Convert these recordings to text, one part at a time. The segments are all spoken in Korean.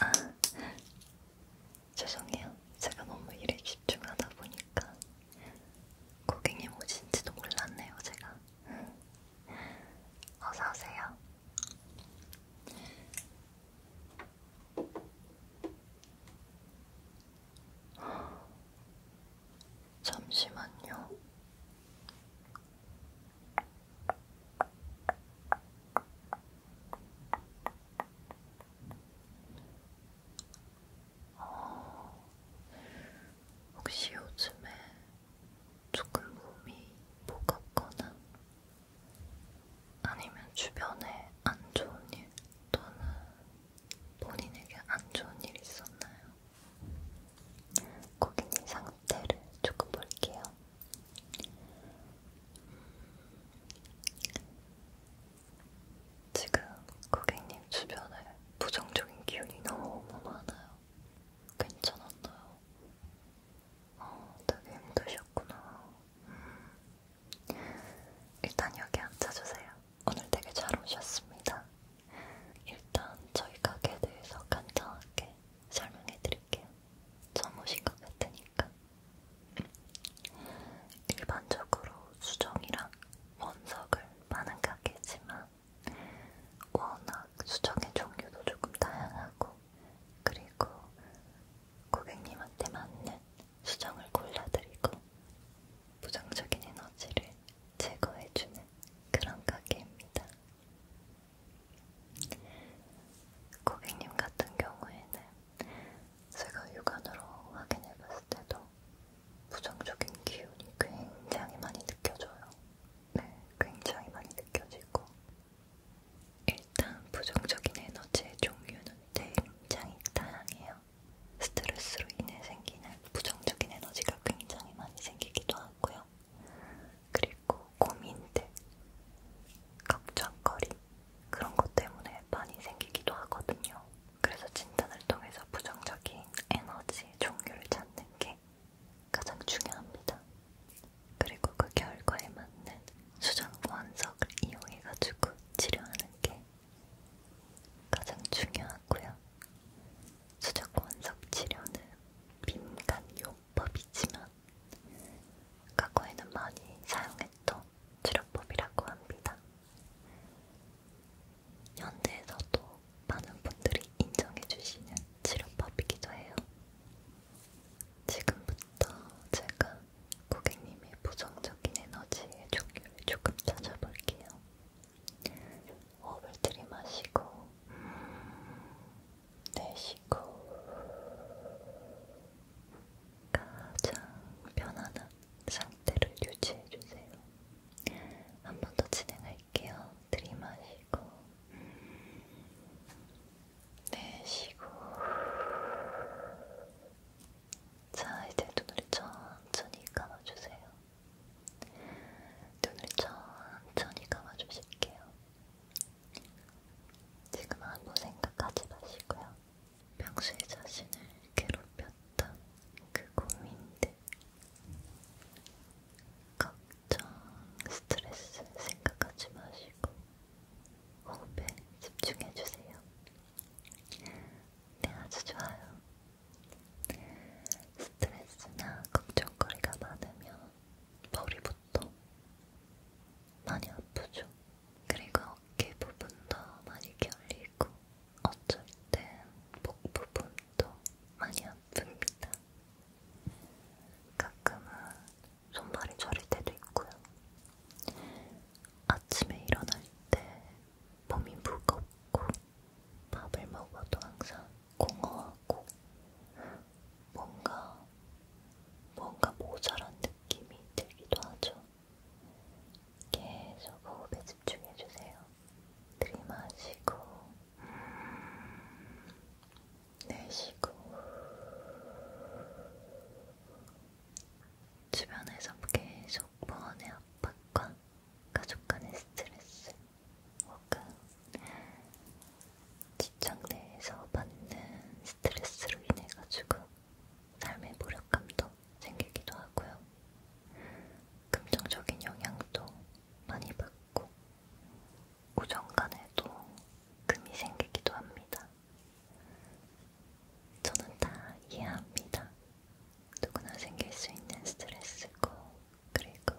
아, 죄송해요. 제가 너무 일에 집중하다 보니까 고객님 오신지도 몰랐네요, 제가. 어서오세요. 잠시만요. 어, 혹시 요즘에 조금 몸이 무겁거나 아니면 주변에 안 좋은 일 또는 본인에게 안 좋은 일 있었나요? 고객님 상태를 조금 볼게요. 지금 고객님 주변에 부정적인 기운이 너무 많아요. 괜찮았나요? 어, 되게 힘드셨구나. 음. 일단 여기 앉아주세요. 오늘 되게 잘 오셨습니다. 일단 저희 가게에 대해서 간단하게 설명해드릴게요. 처음 오신 것 같으니까. 일반적으로 수정이랑 원석을 파는 가게지만 워낙 수정의 종류도 조금 다양하고 그리고 고객님한테 맞는 수정을 골라드리고 부정적인 에너지를 제거해주는 그런 가게입니다. 고객님 같은 경우에는 제가 육안으로 확인해봤을 때도 부정적인 기운이 굉장히 많이 느껴져요. 네, 굉장히 많이 느껴지고 일단 부정적인 에너지의 종류는 굉장히 다양해요. 스트레스로 인해 생기는 부정적인 에너지가 굉장히 많이 생기기도 하고요. 그리고 고민들, 걱정거리 그런 것 때문에 많이 생기기도 하거든요. 그래서 진단을 통해서 부정적인 에너지 종류를 찾는 게 가장 중요합니다. 그리고 그 결과에 맞는 수정 원석을 이용해가지고 치료하는 게 가장 중요하고요. 수족권 섭치료는 민간요법이지만 과거에는 많이 사용했던 치료법이라고 합니다. 현대에서도 많은 분들이 인정해주시는 치료법이기도 해요. 지금부터 제가 고객님의 부정적인 에너지의 종류를 조금 찾아볼게요. 호흡을 들이마시고 내쉬고 가장 편안한 상태를 유지해주세요. 한 번 더 진행할게요. 들이마시고 내쉬고 자, 이제 눈을 천천히 감아주세요. 눈을 천천히 감아주실게요. 지금 아무 생각하지 마시고요. 평소에 자신을 괴롭혔던 그 고민들, 걱정, 스트레스 생각하지 마시고 호흡에 집중해주세요. 네, 아주 좋아요. 스트레스나 걱정거리가 많으면 머리부터 많이 아프죠. 그리고 어깨 부분도 많이 결리고 어쩔 땐 목 부분도 많이 아픕니다. 가끔은 손발이 저릴 때도 있고요. 아침에 일어날 때 몸이 무겁고 밥을 먹어도 항상 공허하고 뭔가 뭔가 모자란 느낌이 들기도 하죠. 계속 호흡에 집중해주세요. 들이마시고 음, 내쉬고 주변에서 계속 번의 압박과 가족 간의 스트레스 혹은 직장 내에서 받는 스트레스로 인해 가지고 삶의 무력감도 생기기도 하고요. 긍정적인 영향도 많이 받고 우정 간에도 금이 생기기도 합니다. 저는 다 이해합니다. 누구나 생길 수 있는 스트레스고 그리고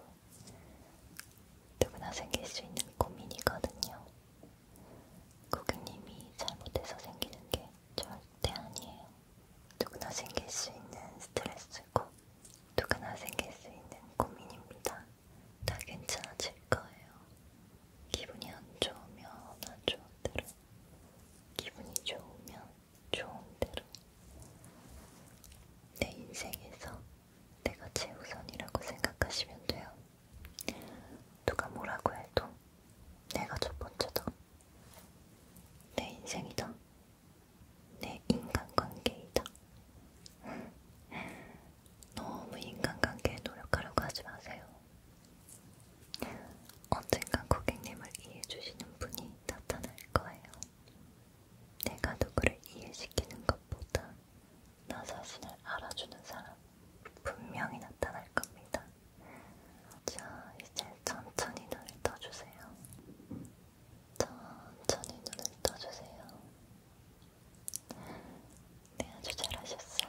누구나 생길 수 있는 고민이거든요. 고객님이 잘못해서 생기는 게 절대 아니에요. 누구나 생길 수 있는 스트레스고 누구나 생길 수 있는 고민입니다. 다 괜찮아질 거예요. 기분이 안 좋으면 안 좋은 대로 기분이 좋으면 좋은 대로 내 인생에서 내가 최우선이라고 생각하시면 돼요. 누가 뭐라고 해도 내가 첫 번째다. 내 인생이다. 내 인간관계이다. 너무 인간관계에 노력하려고 하지 마세요. 언젠간 고객님을 이해해주시는 분이 나타날 거예요. 내가 누구를 이해시키는 것보다 나 자신을 알아주는 사람 분명히 나타날 겁니다. 자, 이제 천천히 눈을 떠주세요. 천천히 눈을 떠주세요. 네, 아주 잘하셨어요.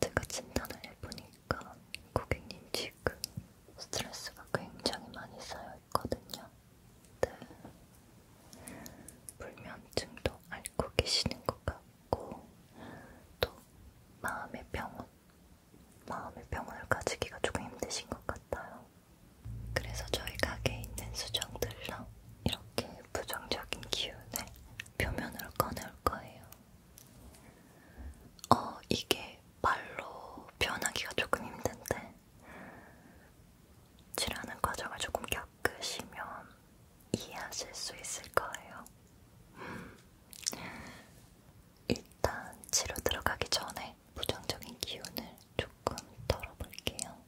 제가 진단을 해보니까 고객님 지금 스트레스가 굉장히 많이 쌓여있거든요. 네. 불면증도 앓고 계시는 것 같고 또 마음의 병원, 마음의 병원을 가지기가 조금 힘드신 것 같아요. 그래서 저희 가게에 있는 수정들랑 이렇게 부정적인 기운을 표면으로 꺼내올 거예요. 어, 이게 말로 표현하기가 조금 힘든데, 칠하는 과정을 조금 겪으시면 이해하실 수 있을 거예요. 음. 일단 치료 들어가기 전에 부정적인 기운을 조금 덜어볼게요.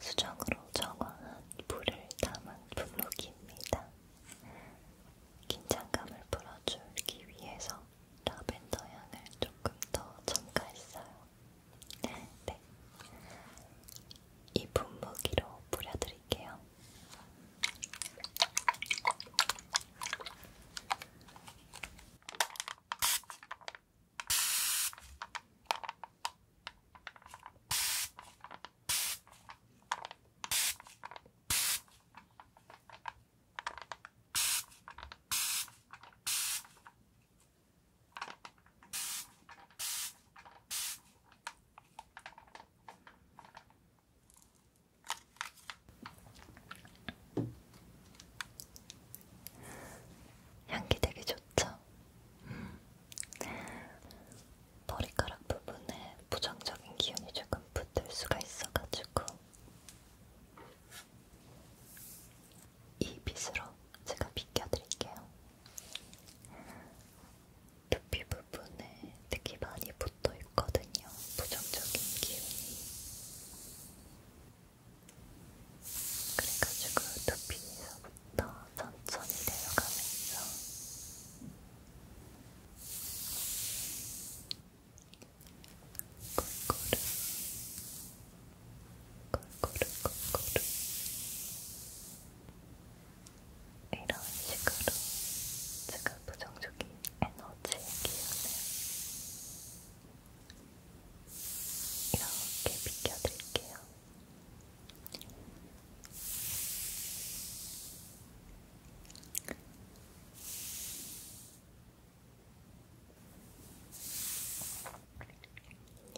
수정으로 정화한 물을 담은 블록입니다. 긴장감을 풀어주기 위해서 라벤더 향을 조금 더 첨가했어요. 네. 이 분무기로 뿌려드릴게요. 네. 향기 되게 좋죠? 음. 머리카락 부분에 부정적인 기운이 조금 붙을 수가 있어가지고 이 빗으로 제가 비껴드릴게요. 두피 부분에 특히 많이 붙어 있거든요. 부정적인 기운이. 그래가지고 두피에서부터 천천히 내려가면서 골고루 골고루골고루 이런 식으로 제가 부정적인 에너지의 기운을 이렇게 비켜드릴게요.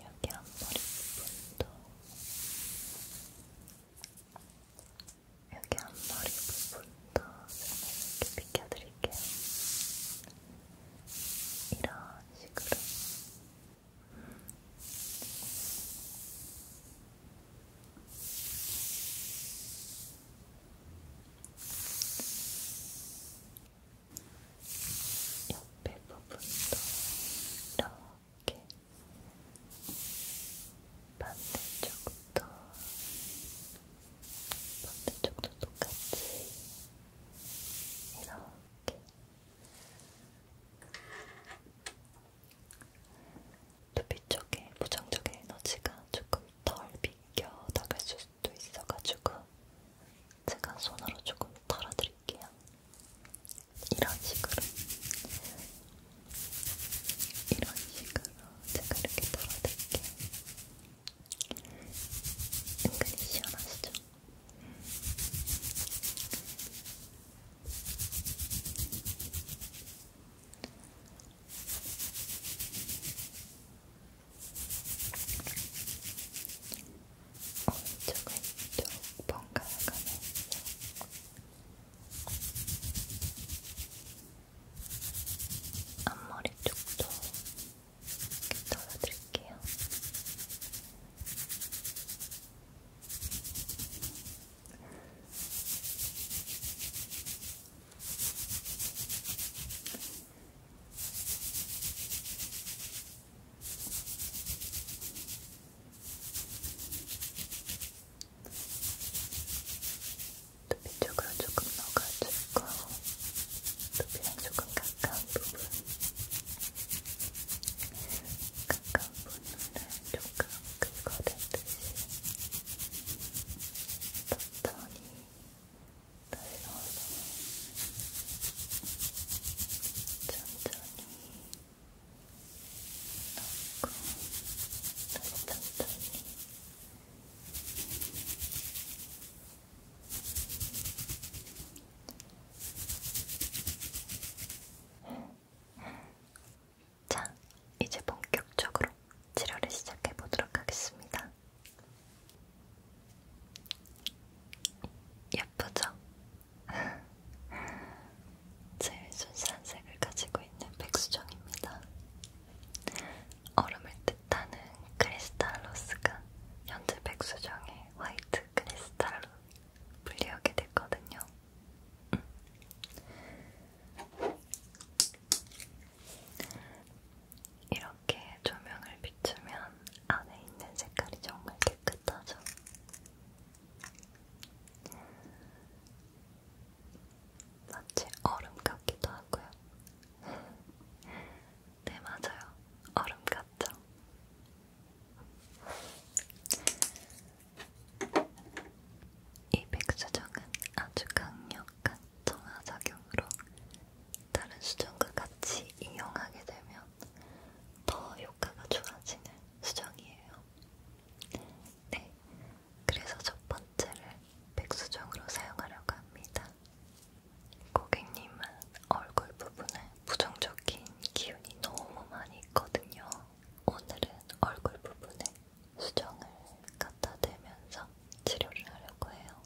여기 앞머리 부분도 여기 앞머리 부분도 이렇게 비켜드릴게요. 이런 식으로 옆에 부분도 이렇게 반대쪽도 반대쪽도 똑같이 이렇게 두피 쪽에 부정적인 에너지가 조금 덜 비껴 나갈 수도 있어가지고 제가 손으로 조금 털어드릴게요. 이런 식으로. 이런 식으로 제가 이렇게 털어드릴게요. 은근히 시원하시죠? 오른쪽은 좀 번갈아가면서 앞머리 쪽도 이렇게 덜어드릴게요. 두피 쪽으로 조금 넣어가지고 두피랑 조금 가까운 부분 가까운 부분을 조금 긁어내듯이 천천히 다시 넣어서 천천히 넣고 다시 천천히 자, 이제 본격적으로 치료를 시작해 보도록 하겠습니다. 예쁘죠? 제일 순수한 색을 가지고 있는 백수정입니다. 얼음을 뜻하는 크리스탈로스가 현재 백수정의 화이트 크리스탈로 분리하게 됐거든요. 이런 이렇게 조명을 비추면 안에 있는 색깔이 정말 깨끗하죠. 마치 얼음 같기도 하고요. 네, 맞아요. 얼음 같죠? 이 백수정은 아주 강력한 정화작용으로 다른 수정과 같이 이용하게 되면 더 효과가 좋아지는 수정이에요. 네, 그래서 첫 번째를 백수정으로 사용하려고 합니다. 고객님은 얼굴 부분에 부정적인 기운이 너무 많이 있거든요. 오늘은 얼굴 부분에 수정을 갖다 대면서 치료를 하려고 해요.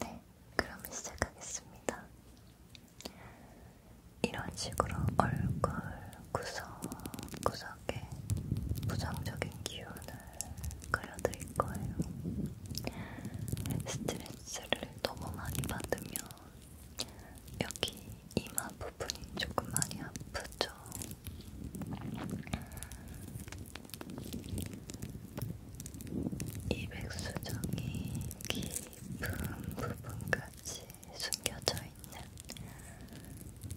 네, 그럼 시작하겠습니다. 이런 식으로 얼굴 구석구석에 부정적인 기운을 그려드릴 거예요. 스트레스를 너무 많이 받으면 여기 이마 부분이 조금 많이 아프죠? 이 백수정이 깊은 부분까지 숨겨져 있는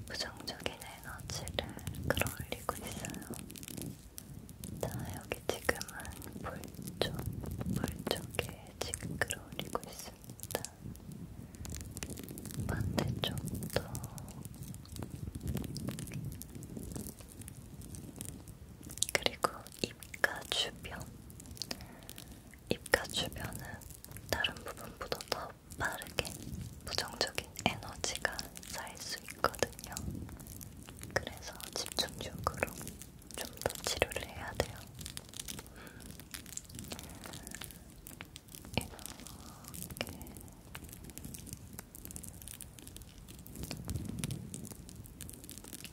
부정적인 에너지를 끌어올리고 있어요. 자, 여기 지금은 볼 쪽, 볼 쪽에 지금 끌어올리고 있습니다. 반대쪽도 그리고 입가 주변 입가 주변은 다른 부분보다 더 빠르게 부정적인 에너지가 쌓일 수 있거든요. 그래서 집중적으로 좀 더 치료를 해야 돼요. 음. 이렇게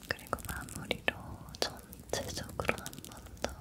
그리고 마무리로 전체적으로 한 번 더.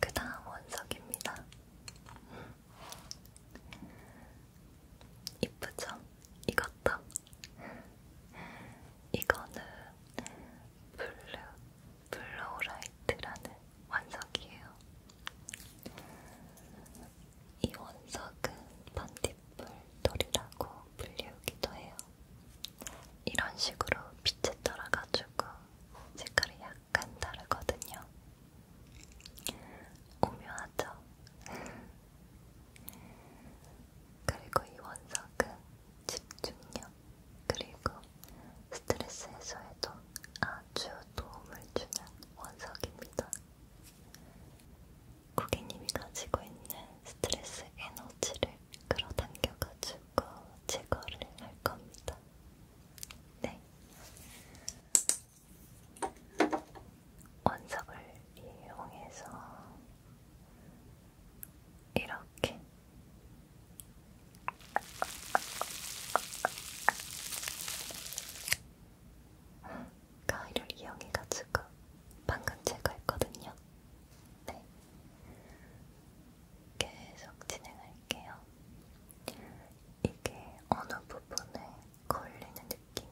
그 다음 원석입니다. 이쁘죠? 이것도 이거는 블루 블루라이트라는 원석이에요. 이 원석은 반딧불 돌이라고 불리우기도 해요. 이런 식으로 빛에 따라 가지고 색깔이 약간 다르거든요. 오묘하죠? 그리고 이 원석은 집중력 그리고 스트레스 해소에도 아주 도움을 주는 원석입니다. 고객님이 가지고 있는 스트레스 에너지를 끌어당겨가지고 제거를 할 겁니다. 네. 원석을 이용해서 이렇게 가위를 이용해가지고 방금 제거했거든요. 네. 계속 진행할게요. 이게 어느 부분에 걸리는 느낌이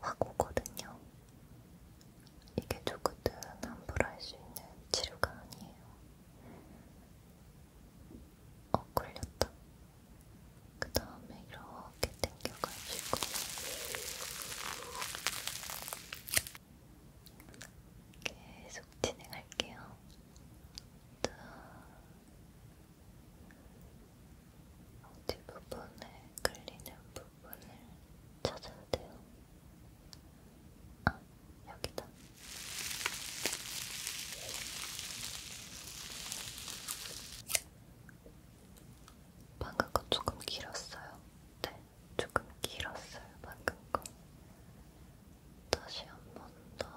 확 오거든요. 이게 누구든 함부로 할 수 있는 치료가 아니에요. 어, 걸렸다. 그 다음에 이렇게 당겨가지고. 계속 진행할게요. 자, 뒷부분에 끌리는 부분을 찾아야 돼요. 아, 여기다. 방금 거 조금 길었어요. 네, 조금 길었어요. 방금 거. 다시 한 번 더.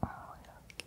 어, 이렇게. 이렇게.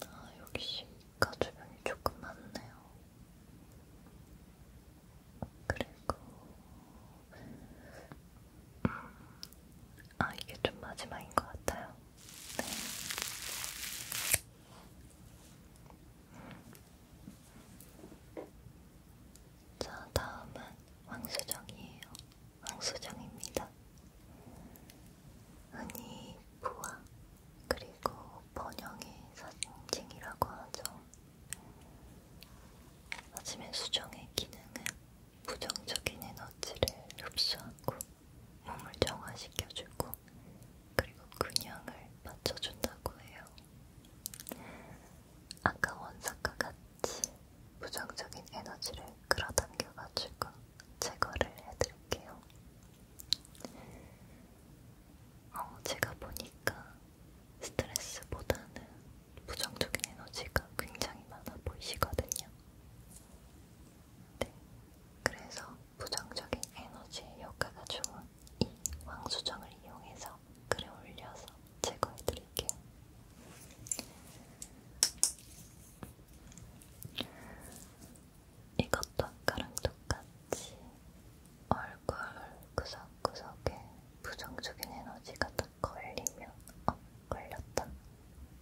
아, 역시 이가 주변이 조금 많네요. 그리고 음, 아, 이게 좀 마지막인 것 같아요. 네. 자, 다음은 황수정이에요. 황수정입니다. 아니, 부화 그리고 번영의 사진증이라고 하죠. 하지만 수정의 기능은 부정적인 에너지를 흡수하고 몸을 정화시켜주고 그리고 근형을 맞춰준다고 해요. 아까 원사과 같이 부정적인 에너지를 끌어당겨가지고 제거를 해드릴게요. 어, 제가 보니까 스트레스보다는 부정적인 에너지가 굉장히 많아 보이시거든요. 네. 그래서 부정적인 에너지의 효과가 좋은 이 왕수정을 이용해서 글에 올려서 제거해드릴게요. 이것도 아까랑 똑같이 얼굴 구석구석에 부정적인 에너지가 딱 걸리면 어, 걸렸다.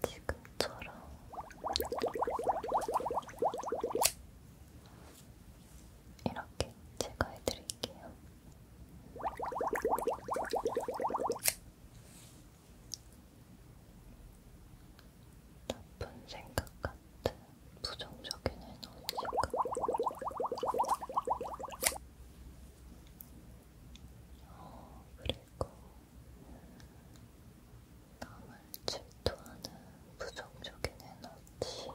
지금처럼 이렇게 제거해 드릴게요. 나쁜 생각 같은 부정적인 에너지가 어, 그리고 남을 질투하는 부정적인 에너지 그렇지.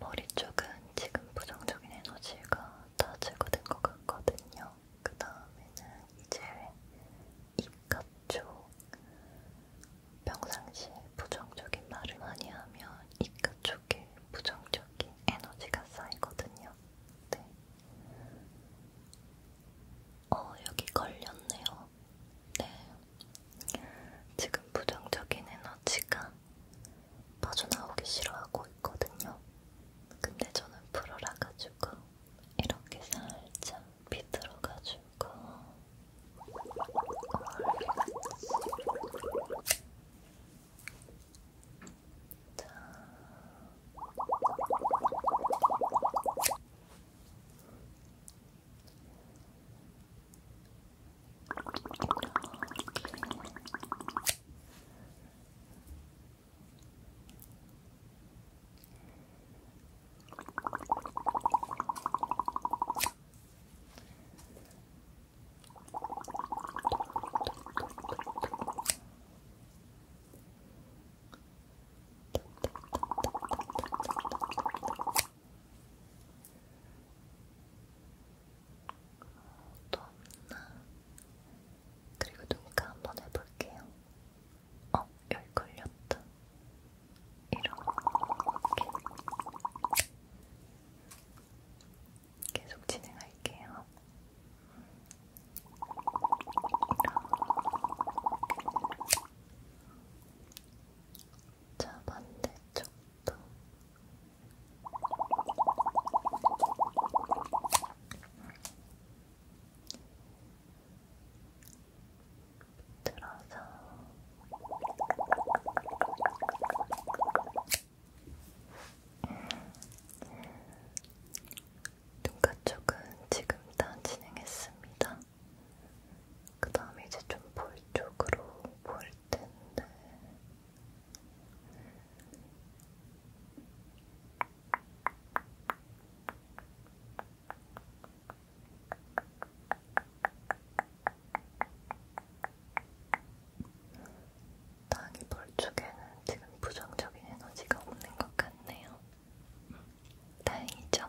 머리 쪽은 지금 부정적인 에너지가 다 제거된 것 같거든요. 그 다음에는 이제 입 갑조 평상시에 부정적인 말을 많이 하면 입가 쪽에 부정적인 에너지가 쌓이거든요. 네. 어, 여기 걸렸네요. 네. 지금 부정적인 에너지가 빠져나오기 싫어하고 있거든요. 근데 저는 풀어라 가지고 이렇게 살짝 비틀어가지고 자. 이렇게 또 없나? 그리고 눈가 한번 해볼게요. 어, 여기 걸렸다. 이렇게. 계속 진행할게요. 이렇게. 자, 반대쪽도. 들어서 음. 눈가 쪽은 지금 다 진행했습니다. 그 다음에 이제 좀 볼 쪽으로 볼 텐데. 땅이 볼 쪽에는 지금 부정적인 에너지가 없는 것 같네요. 다행이죠?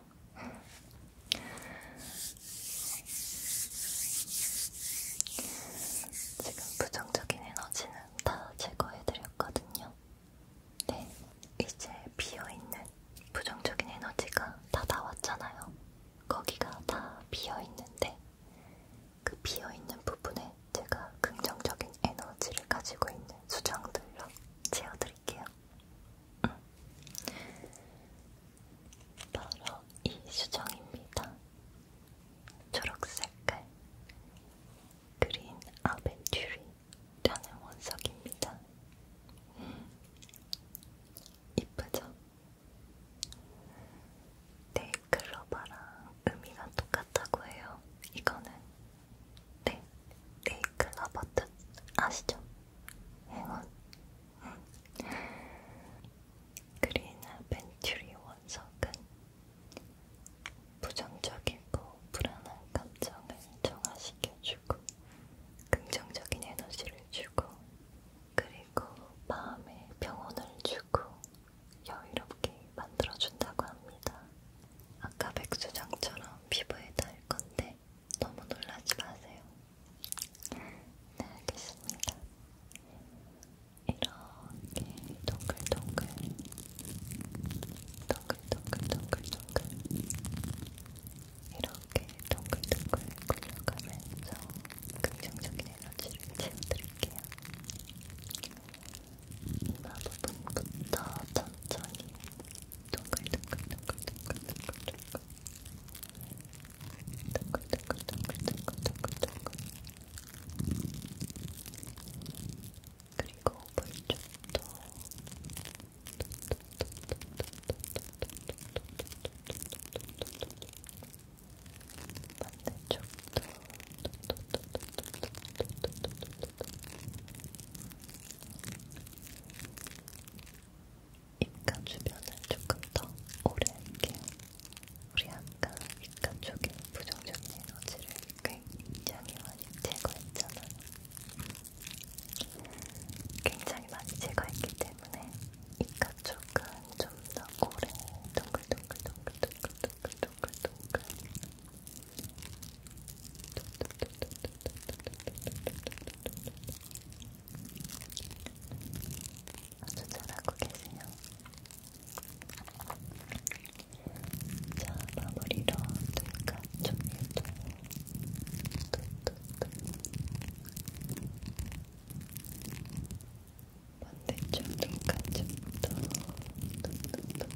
지금 부정적인 에너지는 다 제거해드렸거든요. 네, 이제 비어있는 부정적인 에너지가 다 나왔잖아요. 거기가 다 비어있는데 그 비어있는 부분에 제가 긍정적인 에너지를 가지고 있는 수정들로 채워드릴게요. 음. 바로 이 수정입니다. 초록색깔 그린 아벤튜리 저는 원석입니다. 음. 이쁘죠? 네, 클로바랑 의미가 똑같다고 해요. 이거는 네, 네, 클로바 뜻 아시죠? 행운. 음. 그린 아벤츄리 원석은 부정적이고 불안한 감정을 정화시켜주고 긍정적인 에너지를 주고 그리고 마음에 평온을 주고 여유롭게 만들어준다고 합니다. 아까 백수장처럼 피부에 달 건데 너무 놀라지 마세요. 네, 알겠습니다. 이렇게 동글동글 동글동글 동글동글 이렇게 동글동글 굴려가면서 긍정적인 에너지를 채워드릴게요. 이마 부분부터 천천히 동글동글 동글동글 동글동글 동글동글 동글동글 동글동글 그리고 물쪽도 반대쪽도 입가 주변을 조금 더 오래 할게요. 우리 아까 입가 쪽에 부정적인 에너지를 그 굉장히 많이 제거했잖아요. 굉장히 많이 제거했기 때문에 이가 쪽은 좀더 고래 동글동글동글동글동글동글동글 아주 잘하고 계세요. 자, 마무리로 눈가 쪽에도 반대쪽 눈가 쪽도 뚝뚝뚝뚝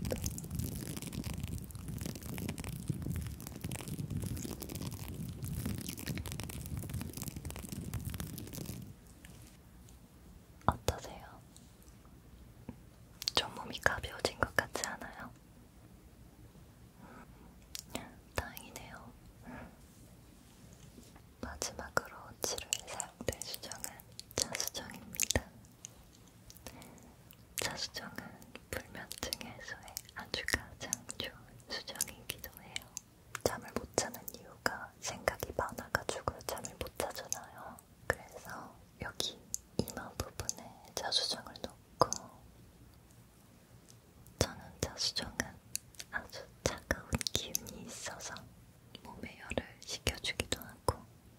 어떠세요? 좀 몸이 가벼워진 것 같지 않아요? 음, 다행이네요. 마지막으로 치료에 사용된 수정은 자수정입니다. 자수정은 불면증 해소에 아주 가장 좋은 수정이기도 해요. 잠을 못 자는 이유가 생각이 많아가지고 잠을 못 자잖아요. 그래서 여기 이마 부분에 자수정을 넣고 저는 자수정은 아주 차가운 기운이 있어서 몸의 열을 식혀주기도 하고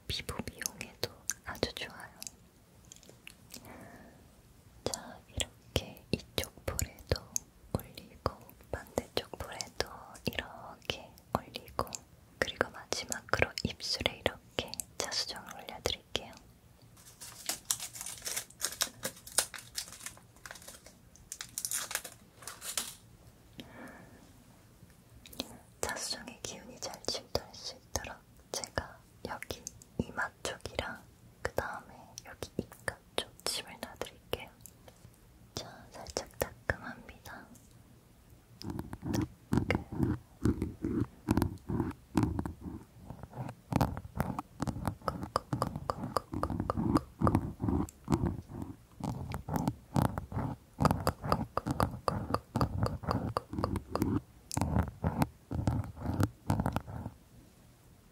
피부 미용에도 아주 좋아요. 자, 이렇게 이쪽 볼에도 올리고 반대쪽 볼에도 이렇게 올리고 그리고 마지막으로 입술에 이렇게 자수정을 올려드릴게요. 자수정의 기운이 잘 침투할 수 있도록 제가 여기 이마 쪽이랑 그 다음에 여기 입가 쪽 침을 놔드릴게요. 자, 살짝 따끔합니다.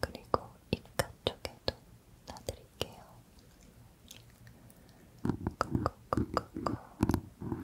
그리고 입가 쪽에도 놔드릴게요. 꾹꾹꾹꾹꾹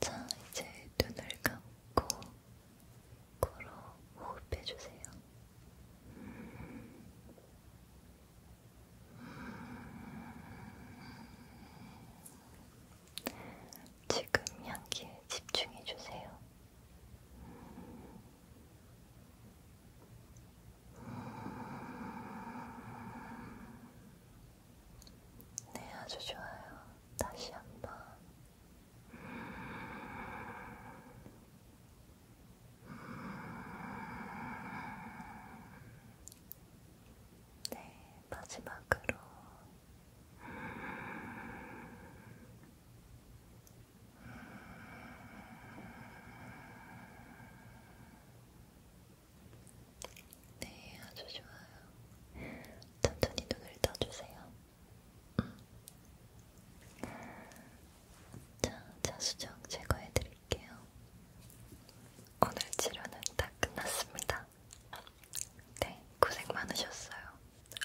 자, 이제 눈을 감고 코로 호흡해주세요. 지금 향기에 집중해주세요. 네, 아주 좋아요. 다시 한번. 네, 마지막으로 네, 아주 좋아요. 천천히 눈을 떠주세요. 음. 자, 자수정 제거해드릴게요. 오늘 치료는 다 끝났습니다. 네, 고생 많으셨어요.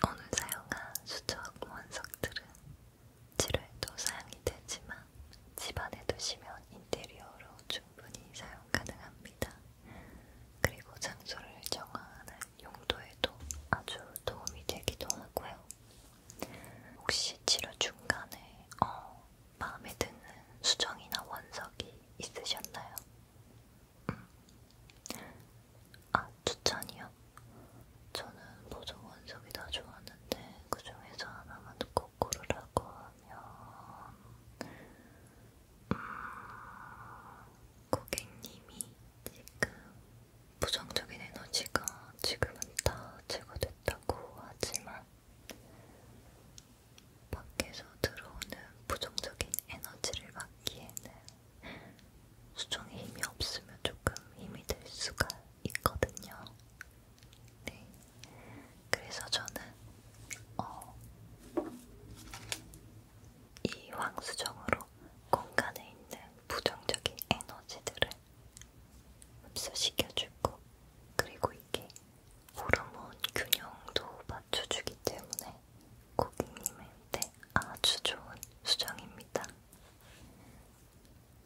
오늘 사용한 수저 원석들은 실외도 사양이 되지만 집안에 두시면 인테리어로 충분히 사용 가능합니다. 그리고 장소를 정하는 용도에도 아주 도움이 되기도 하고요. 혹시 치료 중간에 어, 마음에 드는 수정이나 원석이 있으셨나요? 음. 아, 추천이요? 저는 보정 원석이 다 좋았는데 그 중에서 하나만 꼭 고르라고 하면 음, 고객님이 지금 부정적인 에너지가 지금은 다 제거됐다고 하지만 밖에서 들어오는 부정적인 에너지를 막기에는 수종에 힘이 없으면 조금 힘이 들 수가 있거든요. 네. 그래서 저는 어, 이 황수정으로 공간에 있는 부정적인 에너지들을 흡수시켜주고 그리고 이게 호르몬 균형도 맞춰주기 때문에 고객님한테 아주 좋은 수정입니다.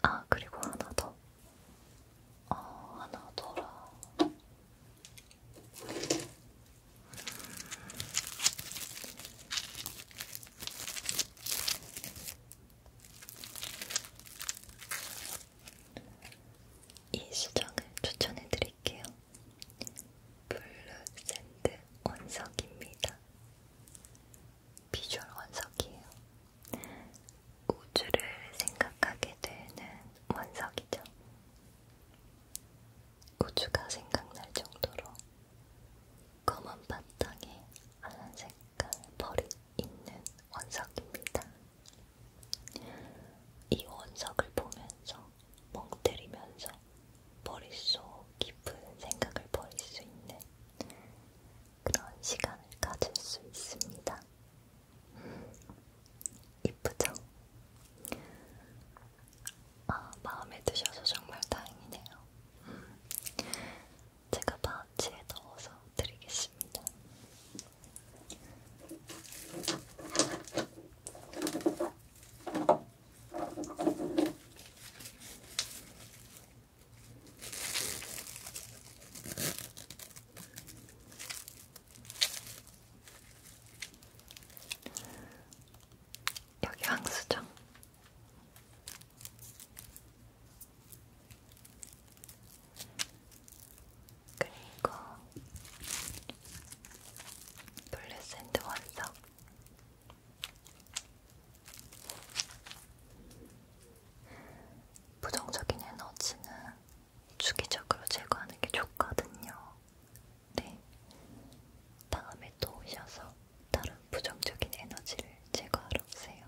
아, 그리고 하나 더. 어, 하나 더라. 이 수정을 추천해 드릴게요. 블루 샌드 원석입니다. 비주얼 원석이에요. 우주를 생각하게 되는 원석이죠. 우주가 생각날 정도로 검은 바탕에 하얀 색깔 벌이 있는 원석입니다. 이 원석을 보면서 멍 때리면서 머릿속 깊은 생각을 버릴 수 있는 그런 시간을 가질 수 있습니다. 이쁘죠? 아, 마음에 드셔서 정말 다행이네요. 제가 파우치에 넣어서 드리겠습니다. 여기 황수정 그리고 돌레센드 원석 부정적인 에너지는 주기적으로 제거하는 게 좋거든요. 네. 다음에 또 오셔서 다른 부정적인 에너지를 제거하러 오세요.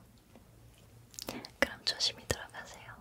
그럼 조심히 들어가세요.